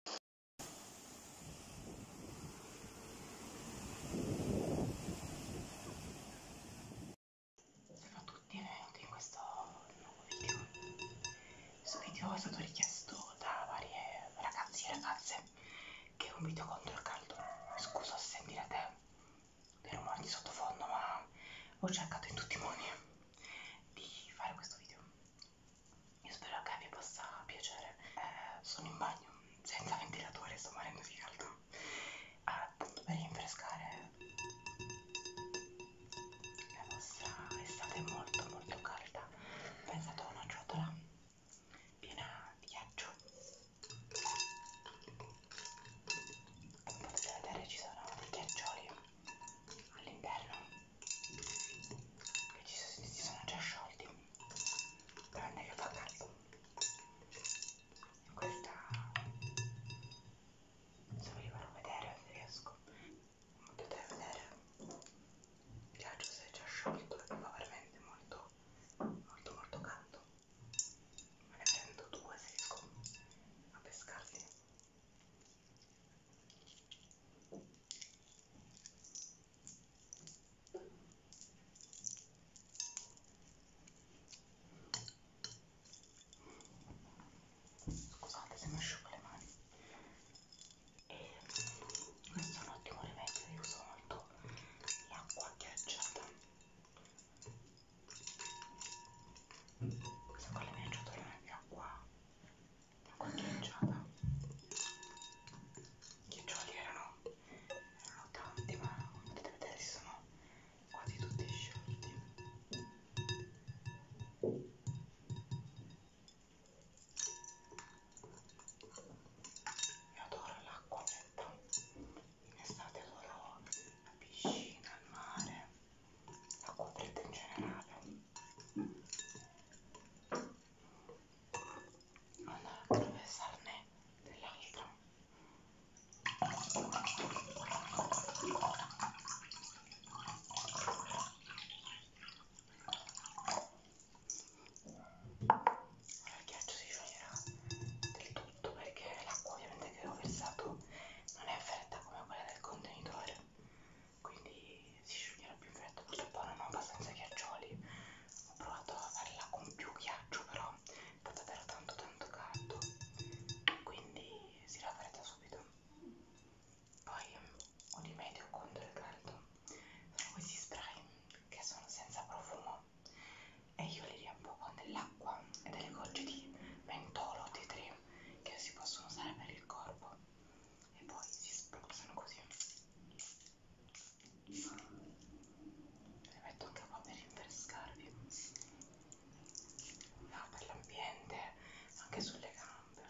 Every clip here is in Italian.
Ciao a tutti eh, e benvenuti in questo nuovo video. Questo video è stato richiesto da varie ragazzi e ragazze che è un video contro il caldo. Scusa se sentirete dei rumori di sottofondo, ma ho cercato in tutti i modi di fare questo video io spero che vi possa piacere eh, sono in bagno senza ventilatore sto morendo di caldo ah, appunto per rinfrescare la vostra estate molto molto calda pensate a una ciotola piena di ghiaccio come potete vedere ci sono dei ghiaccioli all'interno che ci, si sono già sciolti tranne che fa caldo questa se vi farò vedere se riesco potete vedere il ghiaccio si è già sciolto e fa veramente molto molto molto caldo me ne prendo due se riesco a pescarli Scusate se mi asciugo le mani. E questo è un ottimo rimedio, io uso molto l'acqua ghiacciata. Questa qua è la mia ciotola di acqua da qualche chiacciata chiaccioli erano erano tanti ma potete vedere si sono quasi tutti sciolti io adoro l'acqua fredda in estate adoro la piscina, il mare l'acqua fredda in generale andare a attraversarne dell'altro ora il ghiaccio si scioglierà del tutto perché l'acqua ovviamente che ho versato non è fredda come quella del contenitore quindi si scioglierà più in fretta molto buona ma abbastanza ghiaccioli ho provato a farla con più ghiaccio però fa davvero tanto tanto caldo quindi si raffredda subito poi un rimedio contro il caldo sono questi spray che sono senza profumo e io li riampuco nell'acqua e delle gocce di mentolo T3 che si possono usare per il corpo e poi si spruzzano così le metto anche qua per rinfrescarvi no, per l'ambiente anche sulle gambe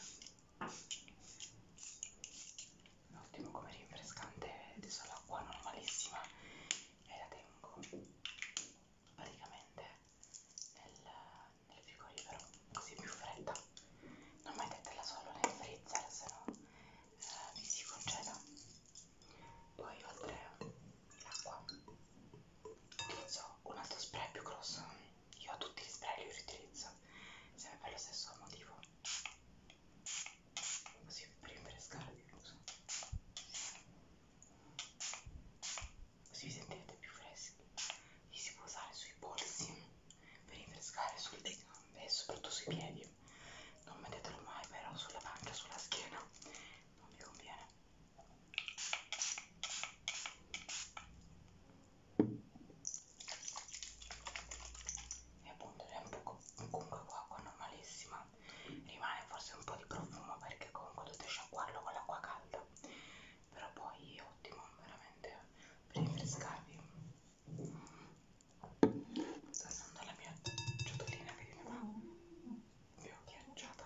ottimo come rinfrescante adesso l'acqua normalissima e la tengo praticamente nel nel frigorifero così più fredda non mettetela solo nel freezer se no eh, vi si congela poi oltre l'acqua utilizzo un altro spray più grosso io tutti gli spray li riutilizzo sempre per lo stesso motivo così per rinfrescare il muso così vi sentirete più freschi li si può usare sui polsi per rinfrescare sul dito e soprattutto sui piedi non mettetelo mai però sulla pancia sulla schiena non vi conviene e appunto è un po' comunque qua acqua normalissima rimane forse un po' di profumo perché comunque dovete sciacquarlo con l'acqua calda però poi è ottimo veramente per rinfrescarvi sto usando la mia ciotolina che diventa più ghiacciata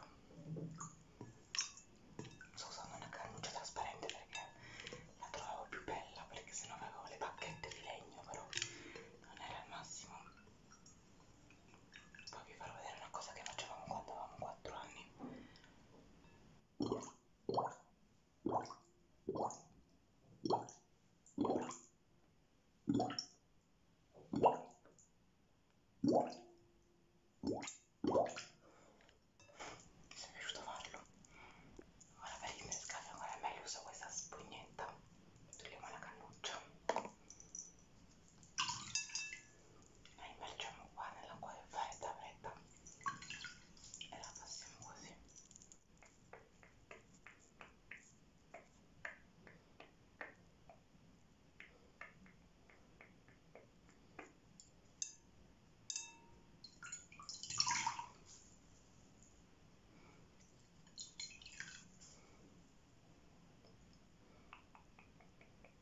sto usando una cannuccia trasparente perché la trovavo più bella perché sennò avevo le bacchette di legno però non era il massimo poi vi farò vedere una cosa che facevamo quando avevamo 4 anni mi è piaciuto farlo ora per il mescalio ancora meglio uso questa spugnetta togliamo la cannuccia noi eh, immergiamo qua nella quale fare tavoletta e la passiamo così.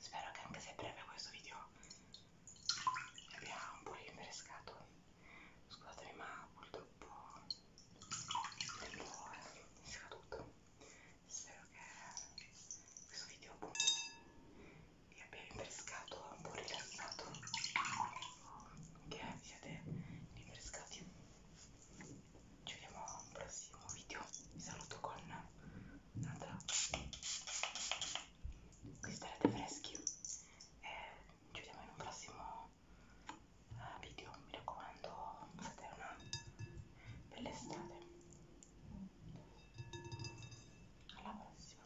Spero che anche se è breve questo video mi abbia un po' rinfrescato. Scusatemi, ma purtroppo il tempo è scaduto. Spero che questo video vi abbia rinfrescato, un po' rilassato che siete rinfrescati ci vediamo a un prossimo video vi saluto con un'altra qui starete freschi e ci vediamo in un prossimo eh, video mi raccomando fate una bella estate alla prossima